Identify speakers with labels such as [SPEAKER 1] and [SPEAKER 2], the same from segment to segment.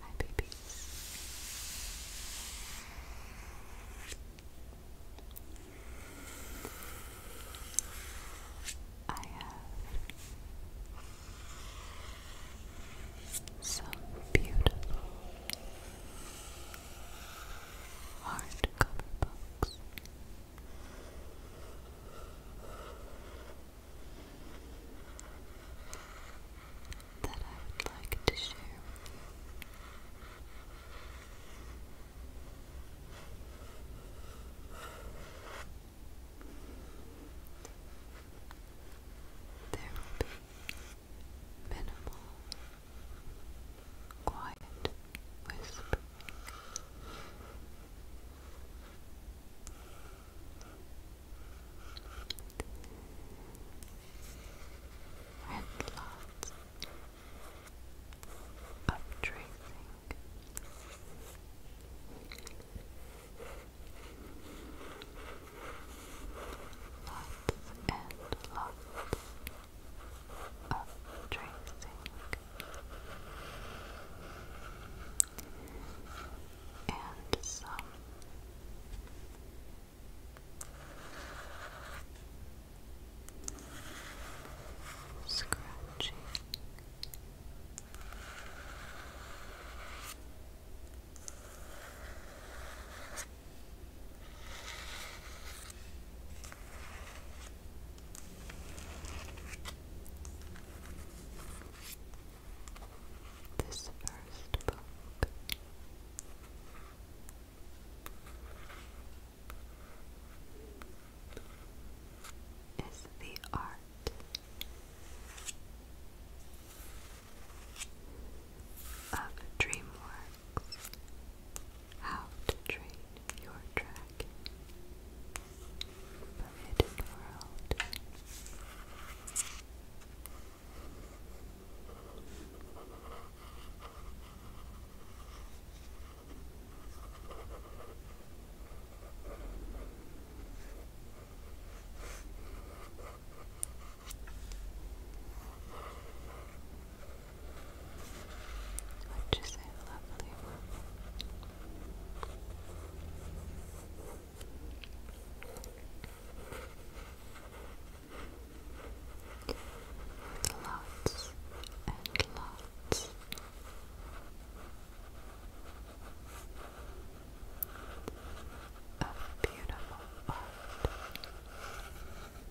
[SPEAKER 1] My babies. I have some beautiful hardcover books that I would like to share you. There will be minimal, quiet whispers and lots of tracing. Lots and lots of tracing back. And some. Scratching. This first book is the art of DreamWorks How to Train Your Dragon back from hidden world. Which is a lovely moment Lots and lots of beautiful art.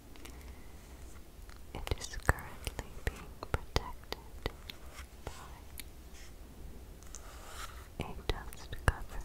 [SPEAKER 1] It is currently being protected by a dust cover.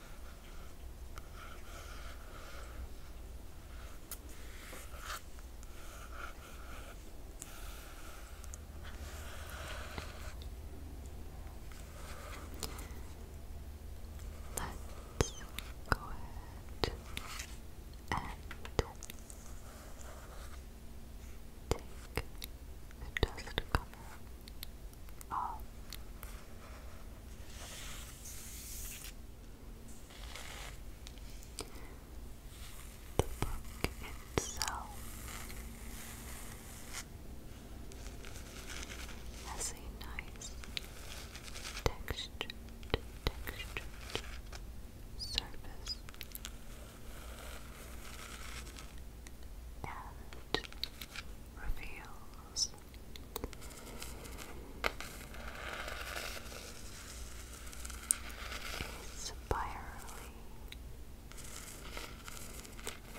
[SPEAKER 1] Let's go ahead and take the dust cover off. The book itself has a nice textured, surface and reveals spirally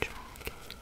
[SPEAKER 1] dragon.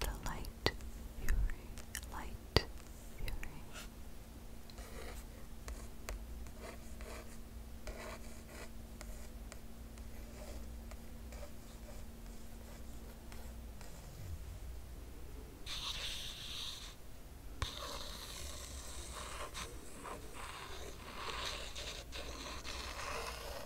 [SPEAKER 1] the light fury, light fury.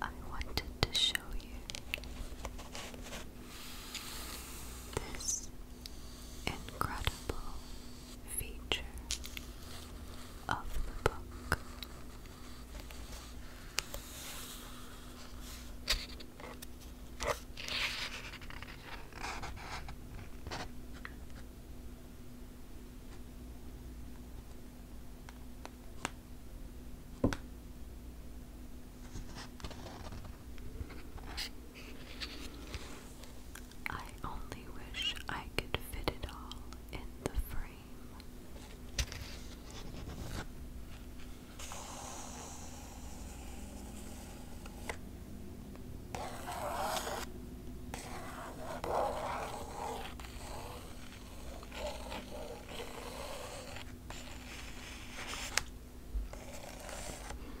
[SPEAKER 1] I wanted to show you this incredible feature of the book. I only wish I could fit it all in the frame.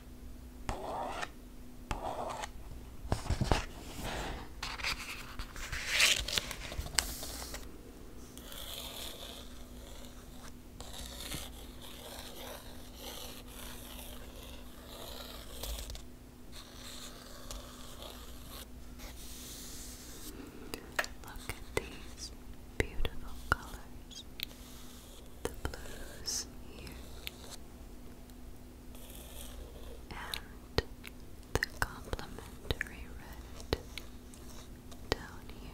[SPEAKER 1] Look at these beautiful colors. The blues here, and the complimentary red down here.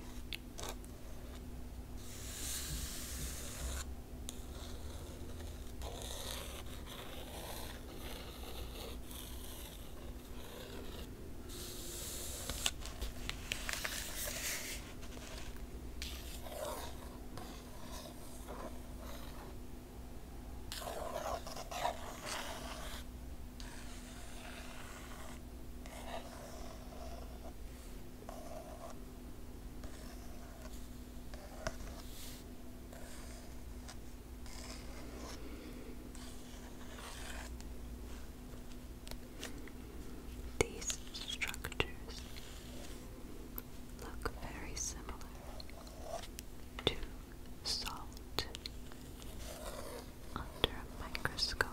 [SPEAKER 1] These structures look very similar to salt under a microscope.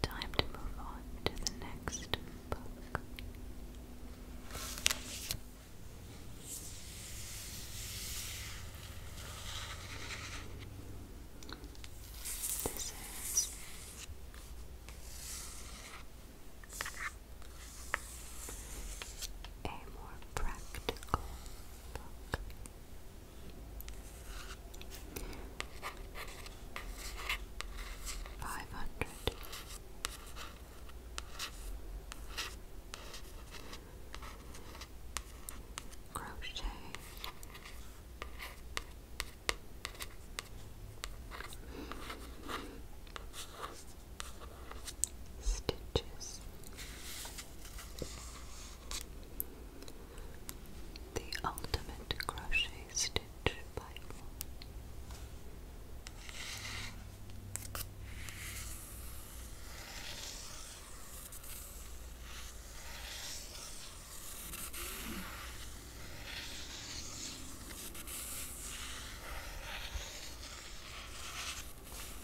[SPEAKER 1] Time to move on to the next book. This is a more practical book. Five hundred. Crochet stitches. The ultimate crochet stitch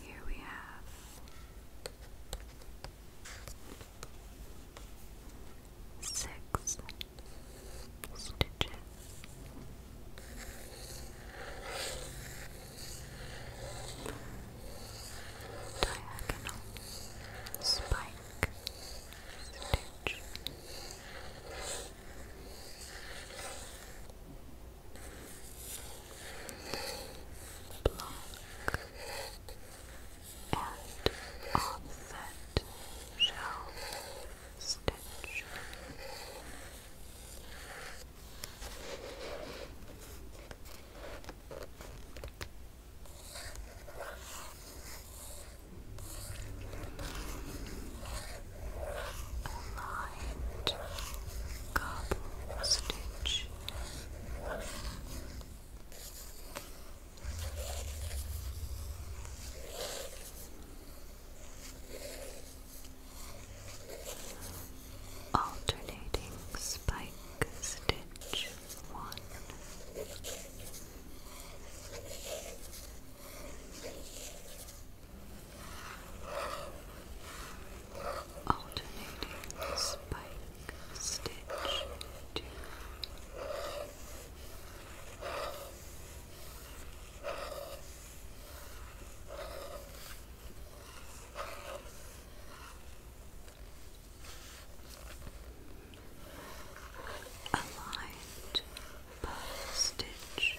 [SPEAKER 1] Here we have six stitches. Diagonal spike stitch block, and offset shell stitch. Aligned cobble stitch Alternating spike stitch one alternating spike stitch Aligned bow stitch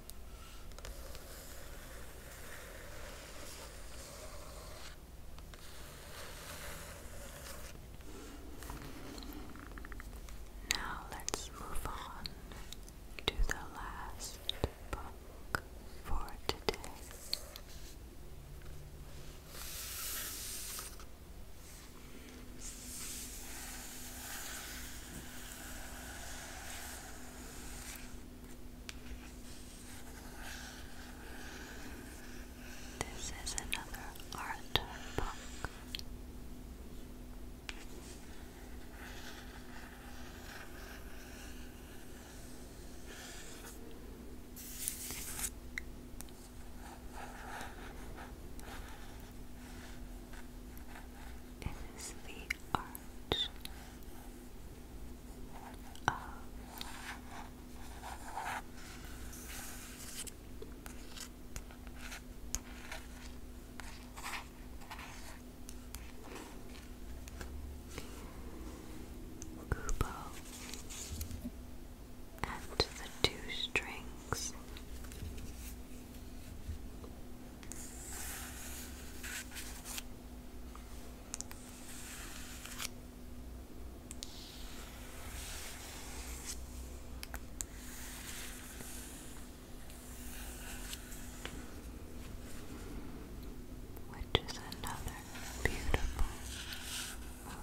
[SPEAKER 1] Now let's move on to the last book for today. This is another art book. It is the art much of Kubo and the two strings which is another beautiful movie.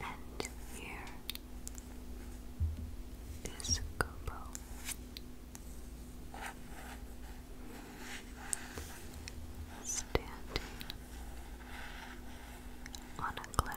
[SPEAKER 1] And here is Kubo. Standing on a cliff,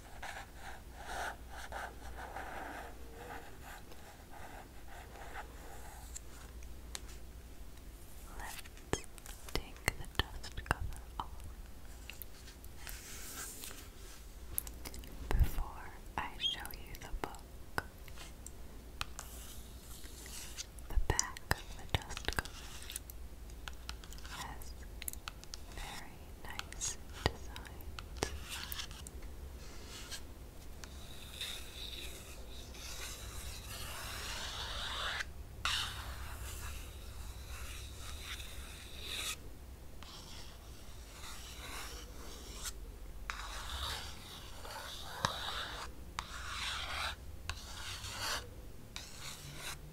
[SPEAKER 1] Let's take the dust cover off. Before I show you the book, the back of the dust cover has very nice designs.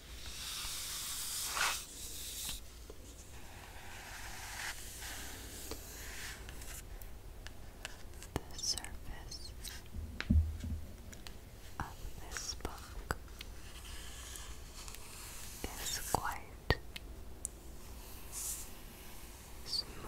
[SPEAKER 1] The surface of this book is quite smooth.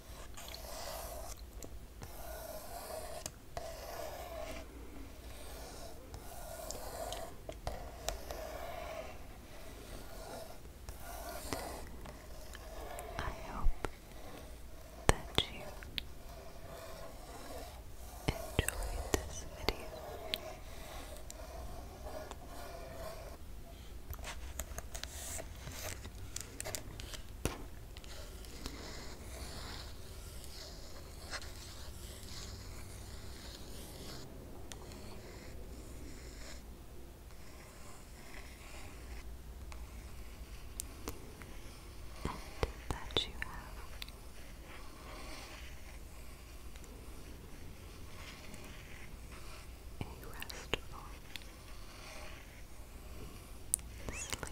[SPEAKER 1] I hope that you enjoyed this video and that you have a restful Sleep.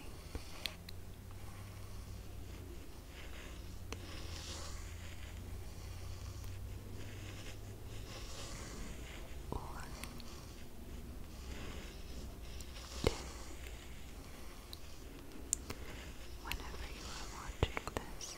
[SPEAKER 1] One, Whenever you are watching this.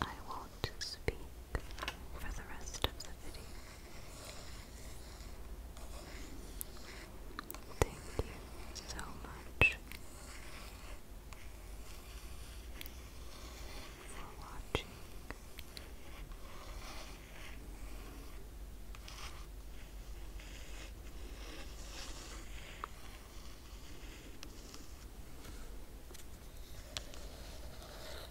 [SPEAKER 1] I will to speak for the rest of the video. Thank you so much for watching.